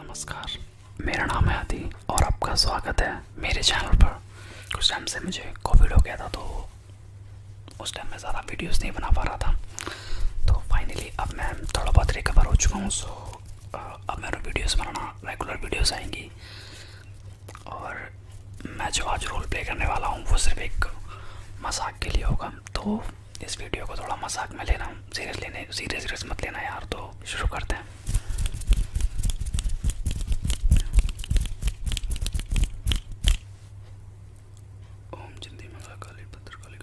नमस्कार मेरा नाम है आदि और आपका स्वागत है मेरे चैनल पर कुछ टाइम से मुझे कोविड हो गया था तो उस टाइम मैं ज़्यादा वीडियोस नहीं बना पा रहा था तो फाइनली अब मैं थोड़ा बहुत रिकवर हो चुका हूँ सो uh, अब मेरे वीडियोस बनाना रेगुलर वीडियोस आएंगी और मैं जो आज रोल प्ले करने वाला हूँ वो सिर्फ एक मजाक के लिए होगा तो इस वीडियो को थोड़ा मजाक में लेना सीरियस लेने सीरियस सीरियस मत लेना यार तो शुरू करते हैं ओम चिंदी मंगला काली पत्थर काली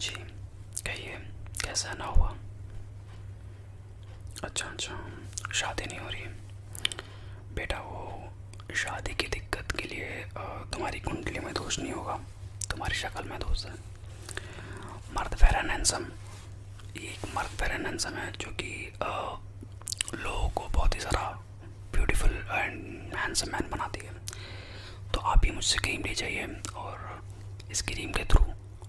जी कहिए कैसा ना हुआ अच्छा अच्छा शादी नहीं हो रही बेटा वो शादी की दिक्कत के लिए तुम्हारी कुंडली में दोष नहीं होगा तुम्हारी शक्ल में दोष है मर्द फैरन हैंसम ये एक मर्द फैरन हैंसम है जो कि लोगों को बहुत ही सारा ब्यूटीफुल एंड हैंडसम मैन बनाती है तो आप भी मुझसे क्रीम ले जाइए और इस क्रीम के थ्रू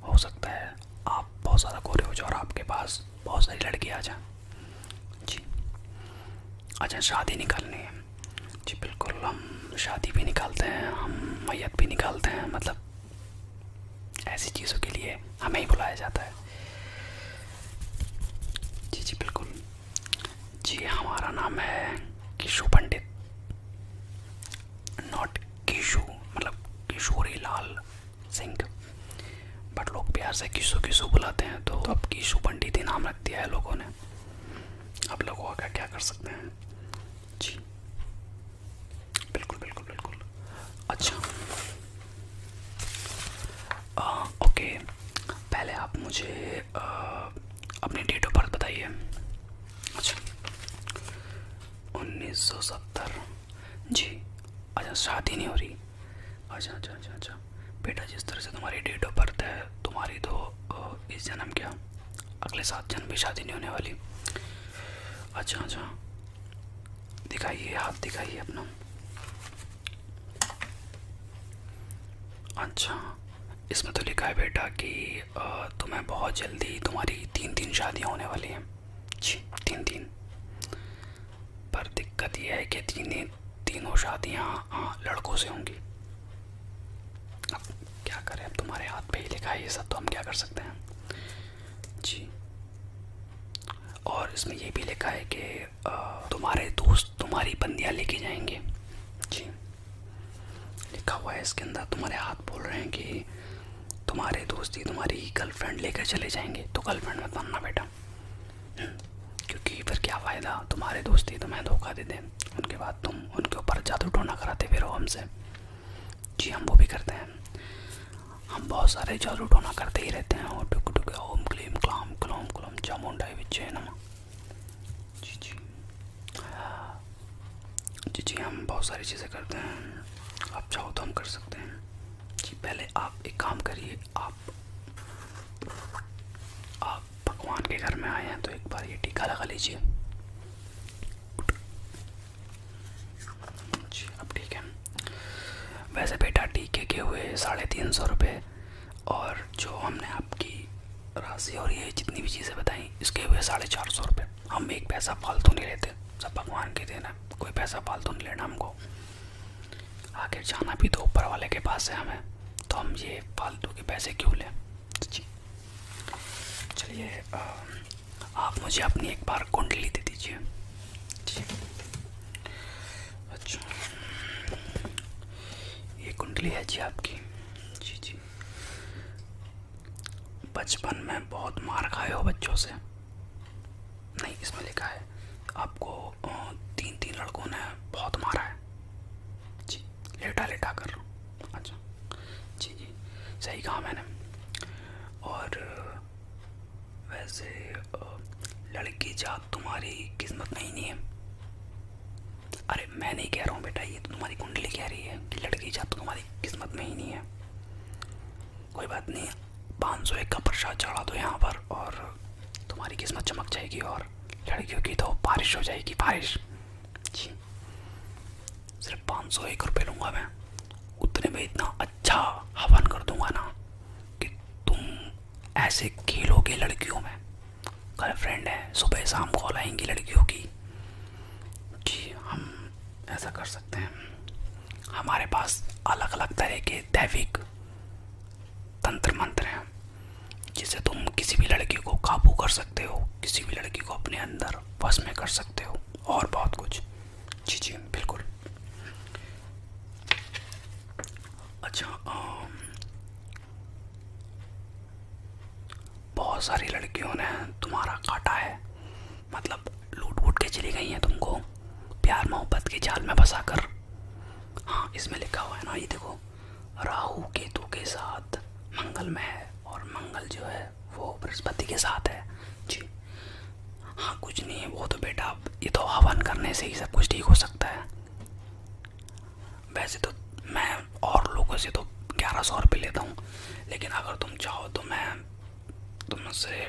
हो सकता है आप बहुत ज़्यादा गोरे हो जाओ और आपके पास बहुत सारी लड़की आ जाए जी अच्छा शादी निकालनी है जी बिल्कुल हम शादी भी निकालते हैं हम मैत भी निकालते हैं मतलब ऐसी चीज़ों के लिए हमें ही बुलाया जाता है जी जी बिल्कुल जी हमारा नाम है किशु पंडित नॉट किशु मतलब किशोरी लाल सिंह बट लोग प्यार से किशु किशु बुलाते हैं तो अब किशु पंडित ही नाम रख दिया है लोगों ने अब लोगों का क्या कर सकते हैं जी बिल्कुल बिल्कुल बिल्कुल अच्छा आ, ओके पहले आप मुझे आ, अपनी डेट ऑफ बर्थ बताइए अच्छा उन्नीस सौ सत्तर जी अच्छा शादी नहीं हो रही अच्छा अच्छा अच्छा अच्छा बेटा जिस तरह से तुम्हारी डेट ऑफ बर्थ है तुम्हारी तो इस जन्म क्या अगले सात जन्म भी शादी नहीं होने वाली अच्छा अच्छा दिखाइए हाथ दिखाइए अपना अच्छा इसमें तो लिखा है बेटा कि तुम्हें बहुत जल्दी तुम्हारी तीन तीन शादियां होने वाली हैं जी तीन तीन पर दिक्कत यह है कि तीन तीनों शादियां लड़कों से होंगी अब क्या करें अब तुम्हारे हाथ पे ही लिखा है ये सब तो हम क्या कर सकते हैं जी और इसमें ये भी लिखा है कि तुम्हारे दोस्त तुम्हारी बंदियाँ लेके जाएंगे जी लिखा हुआ है इसके अंदर तुम्हारे हाथ बोल रहे हैं कि तुम्हारे दोस्त ही तुम्हारी गर्लफ्रेंड लेकर चले जाएंगे तो गर्लफ्रेंड में बनना बेटा क्योंकि फिर क्या फ़ायदा तुम्हारे दोस्त ही तुम्हें धोखा दे दें उनके बाद तुम उनके ऊपर जादू टोना कराते फिर हो हमसे जी हम वो भी करते हैं हम बहुत सारे जादू टोना करते ही रहते हैं और टुक टुक ओम क्लीम क्लाम क्लोम గులాబ్ జామున్ టైప్ ఇచ్చేయనమ్మా जी जी जी जी हम बहुत सारी चीज़ें करते हैं आप चाहो तो हम कर सकते हैं जी पहले आप एक काम करिए आप आप भगवान के घर में आए हैं तो एक बार ये टीका लगा लीजिए जी अब ठीक है वैसे बेटा टीके के हुए साढ़े तीन सौ रुपये और जो हमने आपकी राशि और ये जितनी भी चीज़ें बताई इसके हुए साढ़े चार सौ रुपये हम एक पैसा फालतू नहीं लेते सब भगवान के देना कोई पैसा फालतू नहीं लेना हमको आखिर जाना भी तो ऊपर वाले के पास है हमें तो हम ये फालतू के पैसे क्यों लें जी चलिए आप मुझे अपनी एक बार कुंडली दे दीजिए ठीक अच्छा ये कुंडली है जी आपकी जी जी बचपन में बहुत मार खाए हो बच्चों से नहीं इसमें लिखा है आपको तीन तीन लड़कों ने बहुत मारा है जी लेटा लेटा कर अच्छा जी जी सही कहा मैंने और वैसे लड़की जात तुम्हारी किस्मत में ही नहीं है अरे मैं नहीं कह रहा हूँ बेटा ये तो तुम्हारी कुंडली कह रही है कि लड़की जात तुम्हारी किस्मत में ही नहीं है कोई बात नहीं पाँच सौ एक का प्रसाद चढ़ा दो यहाँ पर और तुम्हारी किस्मत चमक जाएगी और लड़कियों की तो बारिश हो जाएगी बारिश जी सिर्फ पाँच सौ एक रुपये लूँगा मैं उतने में इतना अच्छा हवन कर दूँगा ना कि तुम ऐसे खेलोगे लड़कियों में कल फ्रेंड है सुबह शाम कॉल आएंगी लड़कियों की जी हम ऐसा कर सकते हैं हमारे पास अलग अलग तरह के दैविक तंत्र मंत्र हैं जिसे तुम किसी भी लड़की को काबू कर सकते हो किसी भी लड़की को अपने अंदर वश में कर सकते हो और बहुत कुछ बिल्कुल अच्छा बहुत सारी लड़कियों ने तुम्हारा काटा है मतलब लूट वूट के चली गई हैं तुमको प्यार मोहब्बत के जाल में फंसा कर हाँ इसमें लिखा हुआ है ना ये देखो राहु केतु के साथ मंगल में है और मंगल जो है वो बृहस्पति के साथ है जी हाँ कुछ नहीं है वो तो बेटा ये तो हवन करने से ही सब कुछ ठीक हो सकता है वैसे तो मैं और लोगों से तो ग्यारह सौ रुपये लेता हूँ लेकिन अगर तुम चाहो तो मैं तुमसे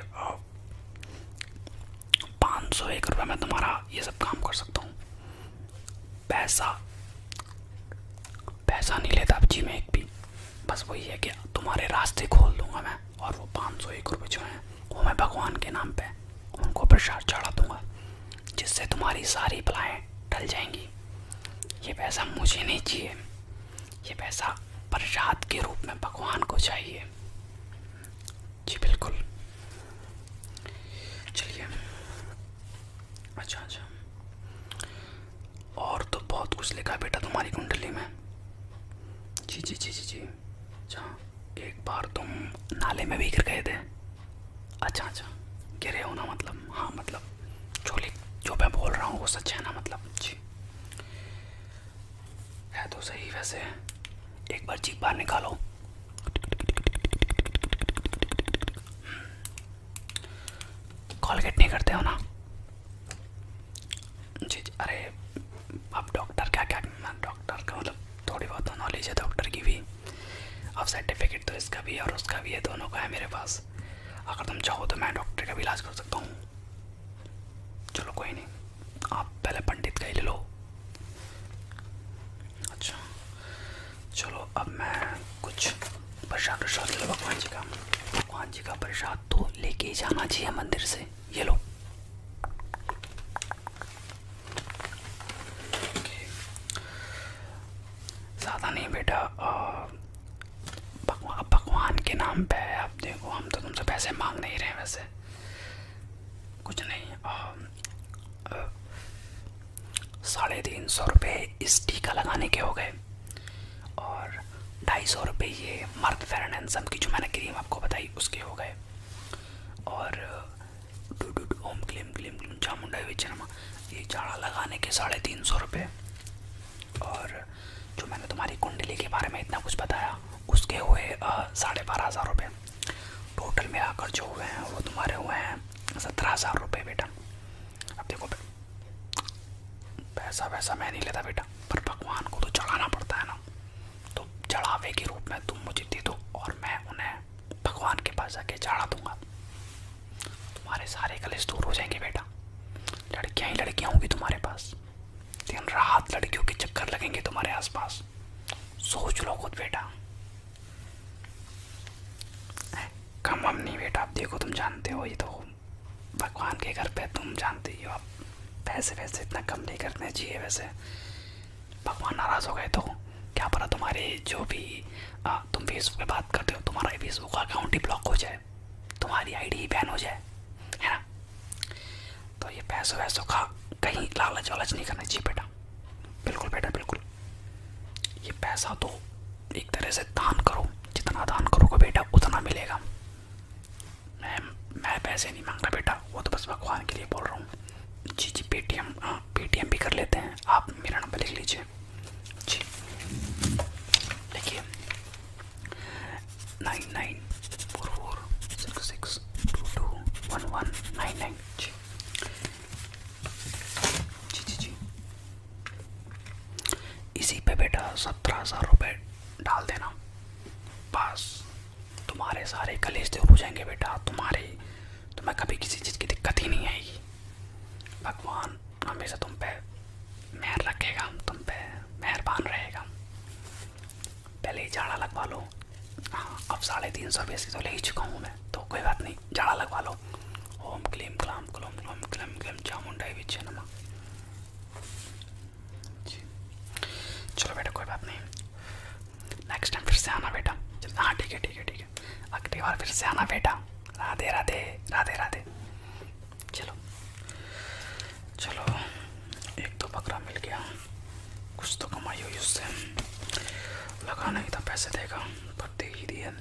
पाँच सौ एक रुपये में तुम्हारा ये सब काम कर सकता हूँ पैसा पैसा नहीं लेता अब जी मैं एक भी बस वही है कि तुम्हारे रास्ते खोल दूंगा मैं और वो पाँच सौ एक रुपये जो हैं वो मैं भगवान के नाम पे उनको प्रसाद चढ़ा दूँगा जिससे तुम्हारी सारी बलाएँ टल जाएंगी ये पैसा मुझे नहीं चाहिए ये पैसा प्रसाद के रूप में भगवान को चाहिए जी बिल्कुल चलिए अच्छा अच्छा और तो बहुत कुछ लिखा बेटा तुम्हारी कुंडली में जी जी जी जी जी अच्छा एक बार तुम नाले में भी गिर गए थे अच्छा अच्छा गिरे हो ना मतलब हाँ मतलब जो लिख जो मैं बोल रहा हूँ वो सच है ना मतलब जी है तो सही वैसे एक बार चीख बाहर निकालो कॉलगेट नहीं करते हो ना जी अरे अब डॉक्टर क्या क्या डॉक्टर का मतलब थोड़ी बहुत नॉलेज तो है डॉक्टर की भी अब सर्टिफिकेट तो इसका भी है और उसका भी है दोनों का है मेरे पास अगर तुम चाहो तो मैं डॉक्टर का भी इलाज कर सकता हूँ चलो कोई नहीं आप पहले पंडित का ही ले लो अच्छा चलो अब मैं कुछ प्रसाद प्रसाद ले लो भगवान जी का हनुमान जी का प्रसाद तो लेके जाना चाहिए मंदिर से ये लो ज़्यादा नहीं बेटा भगवान भगवान के नाम पे है आप देखो हम तो तुमसे पैसे मांग नहीं रहे वैसे कुछ नहीं साढ़े तीन सौ रुपये इस टीका लगाने के हो गए और ढाई सौ रुपये ये मर्द फेरन एंडसम की जो मैंने क्रीम आपको बताई उसके हो गए और डू डू ओम क्लीम क्लीम क्लीम चामुंडा विचरमा ये जाड़ा लगाने के साढ़े तीन सौ रुपये और जो मैंने तुम्हारी कुंडली के बारे में इतना कुछ बताया उसके हुए साढ़े बारह हज़ार रुपये टोटल मिलाकर जो हुए हैं वो तुम्हारे हुए हैं सत्रह हज़ार रुपये बेटा अब देखो पैसा वैसा मैं नहीं लेता बेटा पर भगवान को तो चढ़ाना पड़ता है ना तो चढ़ावे के रूप में तुम मुझे दे दो और मैं उन्हें भगवान के पास जाके चढ़ा दूंगा तुम्हारे सारे कलेश दूर हो जाएंगे बेटा लड़कियां ही लड़कियां होंगी तुम्हारे पास दिन रात लड़कियों के चक्कर लगेंगे तुम्हारे आसपास सोच लो खुद बेटा कम हम नहीं बेटा आप देखो तुम जानते हो ये तो भगवान के घर पे तुम जानते ही हो आप पैसे वैसे इतना कम नहीं करने चाहिए वैसे भगवान नाराज़ हो गए तो क्या पता तुम्हारे जो भी आ, तुम फेसबुक पे बात करते हो तुम्हारा फेसबुक का अकाउंट ही ब्लॉक हो जाए तुम्हारी आईडी बैन हो जाए है ना तो ये पैसों वैसों का कहीं लालच वालच नहीं करना चाहिए बेटा बिल्कुल बेटा बिल्कुल ये पैसा तो एक तरह से दान करो जितना दान करोगे बेटा उतना मिलेगा मैं मैं पैसे नहीं मांग रहा बेटा वो तो बस भगवान के लिए बोल रहा हूँ जी जी पेटीएम हाँ, पेटीएम भी कर लेते हैं आप मेरा नंबर लिख लीजिए जी देखिए nine nine four four six six two two one one nine nine जी जी जी जी इसी पे बेटा सत्रह हजार रुपये डाल देना बस तुम्हारे सारे कलेज दूर हो जाएंगे बेटा तुम्हारे तुम्हें कभी किसी चीज़ की दिक्कत ही नहीं आएगी भगवान हमेशा तुम पे मेहर रखेगा तुम पे मेहरबान रहेगा पहले ही झाड़ा लगवा लो हाँ अब साढ़े तीन सौ से तो ले ही चुका हूँ मैं तो कोई बात नहीं नहीं झाड़ा लगवा लो ओम क्लीम क्लाम क्लोम क्लोम क्लम क्लम चामुंडाई भी छे नमा चलो बेटा कोई बात नहीं नेक्स्ट टाइम फिर से आना बेटा हाँ ठीक है ठीक है ठीक है अगली बार फिर से आना बेटा राधे राधे राधे राधे चलो चलो एक तो बकरा मिल गया कुछ तो कमाई हुई उससे लगा नहीं था पैसे देगा पर दे ही दिया